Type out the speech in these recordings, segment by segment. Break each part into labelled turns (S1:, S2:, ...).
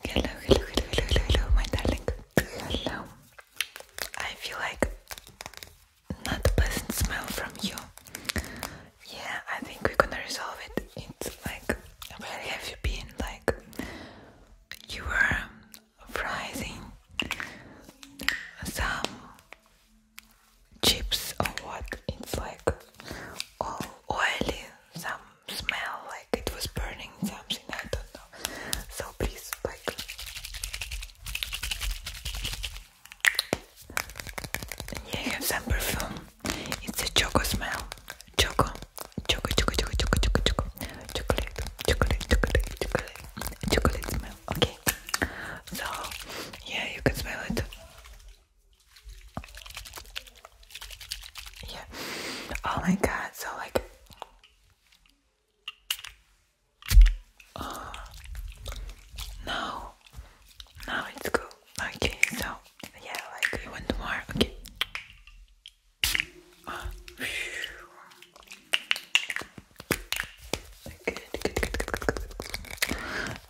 S1: Hello, hello, hello, hello, hello, my darling. Hello. I feel like not a pleasant smell from you. Yeah, I think we're gonna resolve it. It's like where have you been? Like you were frying some chips or what? It's like all oily, some smell like it was burning something, I don't know. So please, like, yeah, I have some perfume. It's a choco smell. Choco, choco, choco, choco, choco, choco, choco, chocolate, chocolate, chocolate, chocolate, chocolate smell. Okay, so yeah, you can smell it. Yeah. Oh my god, so like now oh, now it's good. Okay, so yeah, like you want more, okay.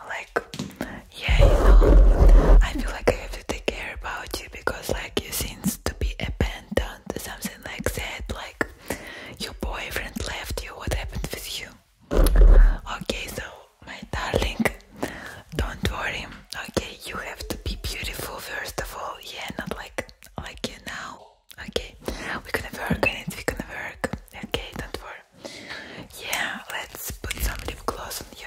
S1: Like yeah, you know, I feel like I have to take care about you because, like, you seem to be abandoned, something like that. Like, your boyfriend left you. What happened with you? Okay, so my darling, don't worry. Okay, you have to be beautiful first of all. Yeah, not like like you now. Okay, we're gonna work on it. We're gonna work. Okay, don't worry. Yeah, let's put some lip gloss on you.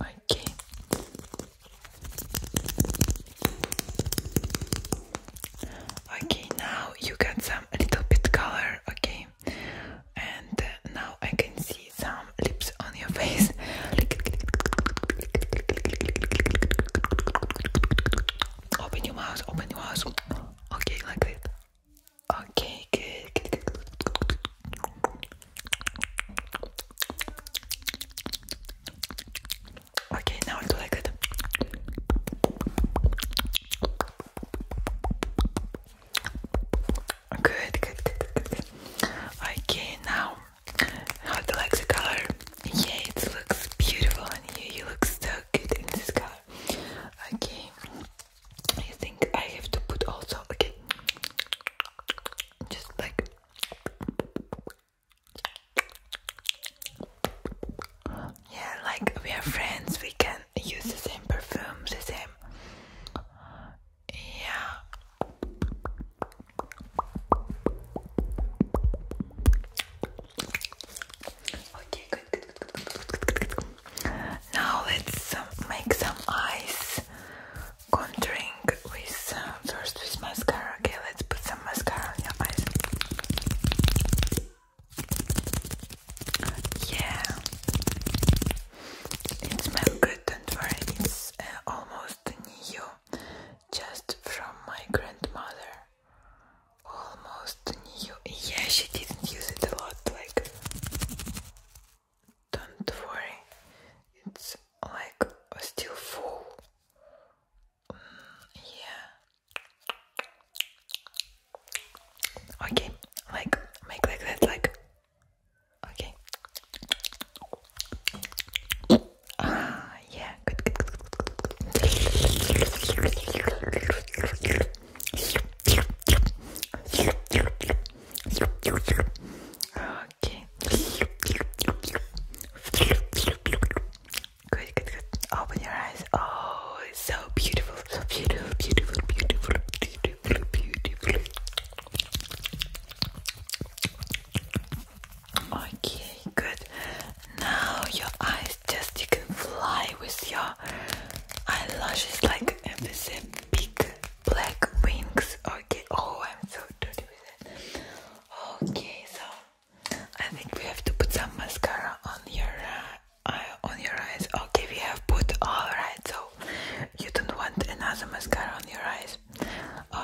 S1: Okay. Okay, now you got some little bit color, okay? And uh, now I can see some lips on your face. open your mouth, open your mouth. Okay, like that. Okay, good. good, good, good. Okay, now i do like that. Good, good, good, Okay, now how do you like the color? Yeah, it looks beautiful on you. You look so good in this color. Okay. I think I have to put also okay just like yeah like we are friends we can use the same perfume the same yeah Okay, now let's um, make some eyes contouring with first with mascara. Okay, let's put some mascara on your eyes. Yeah, it smells good. do it's uh, almost new, just from my grandmother. Almost new. Yeah, she didn't use it a lot, like don't worry, it's like still full. Mm, yeah. Okay, like make like that, like. Okay. Ah, yeah, good. Okay. Good, Open your eyes. Oh, it's so beautiful. beautiful, beautiful, beautiful, beautiful, beautiful. Okay, good. Now your eyes just you can fly with your eyelashes like and Enfise big black wings. Okay. Oh, I'm so dirty with it. Okay, so I think we have to put some mascara on your uh, on your eyes. Okay, we have put all right. So you don't want another mascara on your eyes.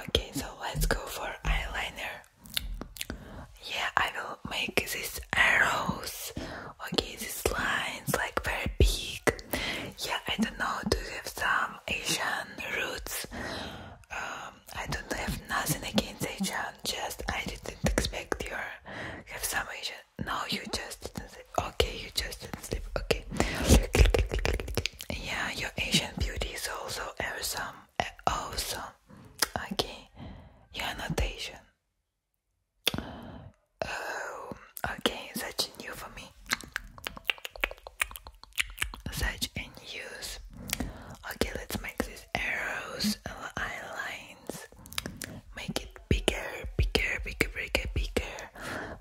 S1: Okay, so let's go for eyeliner. Yeah, I will make these arrows Okay, these lines like very big. Yeah, I don't know. Do you have some Asian roots? Um, I don't have nothing against Asian. Just I didn't expect you have some Asian. No, you just didn't Okay, you just didn't sleep. Okay. Yeah, your Asian beauty is also awesome. Awesome. Okay, you are not Asian. Oh, okay, that's new for me. Such and Okay, let's make these arrows eyelines. Make it bigger, bigger, bigger, bigger, bigger.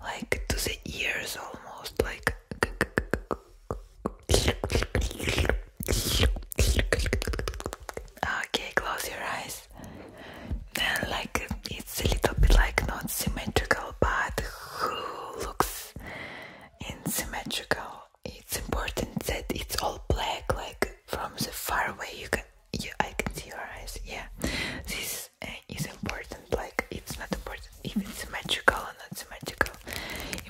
S1: Like to the ears almost like Okay, close your eyes nice. And like it's a little bit like not symmetrical, but who looks unsymmetrical? It's important that it's all black, like from the far away you can, you, I can see your eyes. Yeah, this uh, is important. Like it's not important if it's symmetrical or not symmetrical.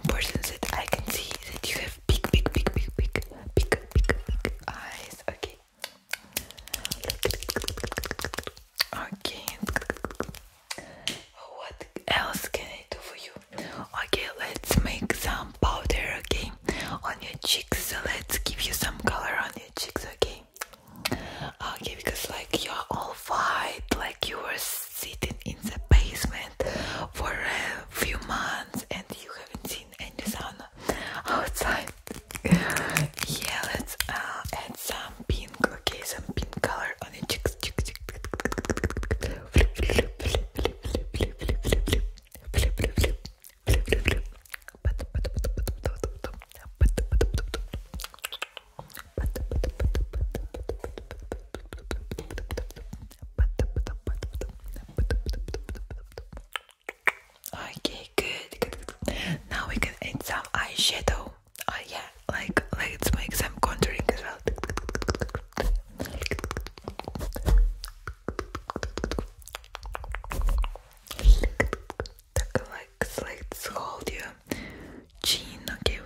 S1: Important that I can see that you have big, big, big, big, big, big, big, big eyes. Okay, Okay. What else can I do for you? Okay, let's make some powder, okay, on your cheeks. So let's give you some color on your cheeks, okay? Okay, because like you're all white, like you were sitting in the basement for a few months and you haven't seen skin and the sun outside. yeah, let's add some pink, okay, some pink color on the cheeks. Okay, good, Now we can add some eyeshadow. Oh yeah, like let's make some contouring as well. Like, let's hold your chin. Okay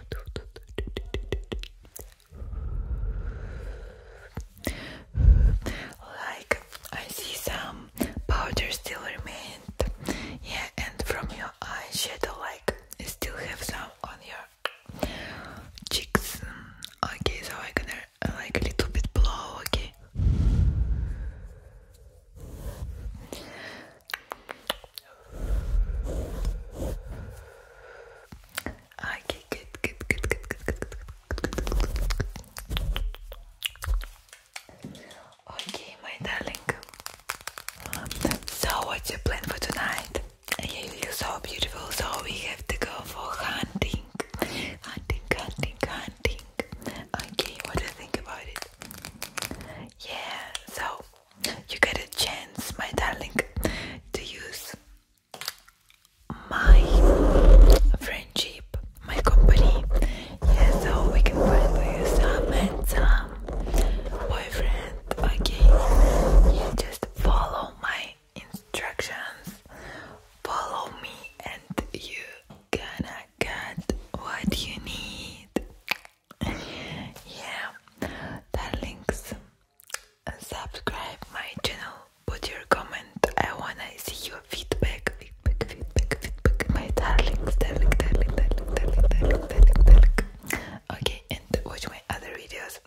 S1: like I see some powder still remained yeah and from your eyeshadow like you still have some on your cheeks okay so I'm gonna like a little bit blow okay Okay, good, good, good, good, good, good, good. Okay, my darling. So, what's your plan for tonight? You look so beautiful, so we have to go for hunting. Hunting, hunting, hunting. Okay, what do you think about it? Yeah, so you get a chance, my darling, to use my friendship, my company. Yeah, so we can find you some and some boyfriend. Okay, just follow my instructions, follow me, and you gonna get what you need. Yeah, darlings, and subscribe my channel. Put your comment. I wanna see your feedback. Feedback, feedback, feedback. My darlings, darling, darling, darling, darling, darling, darling, darling. Okay, and watch my other videos.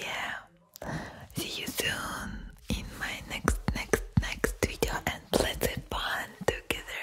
S1: Yeah. See you soon in my next, next, next video, and let's have together.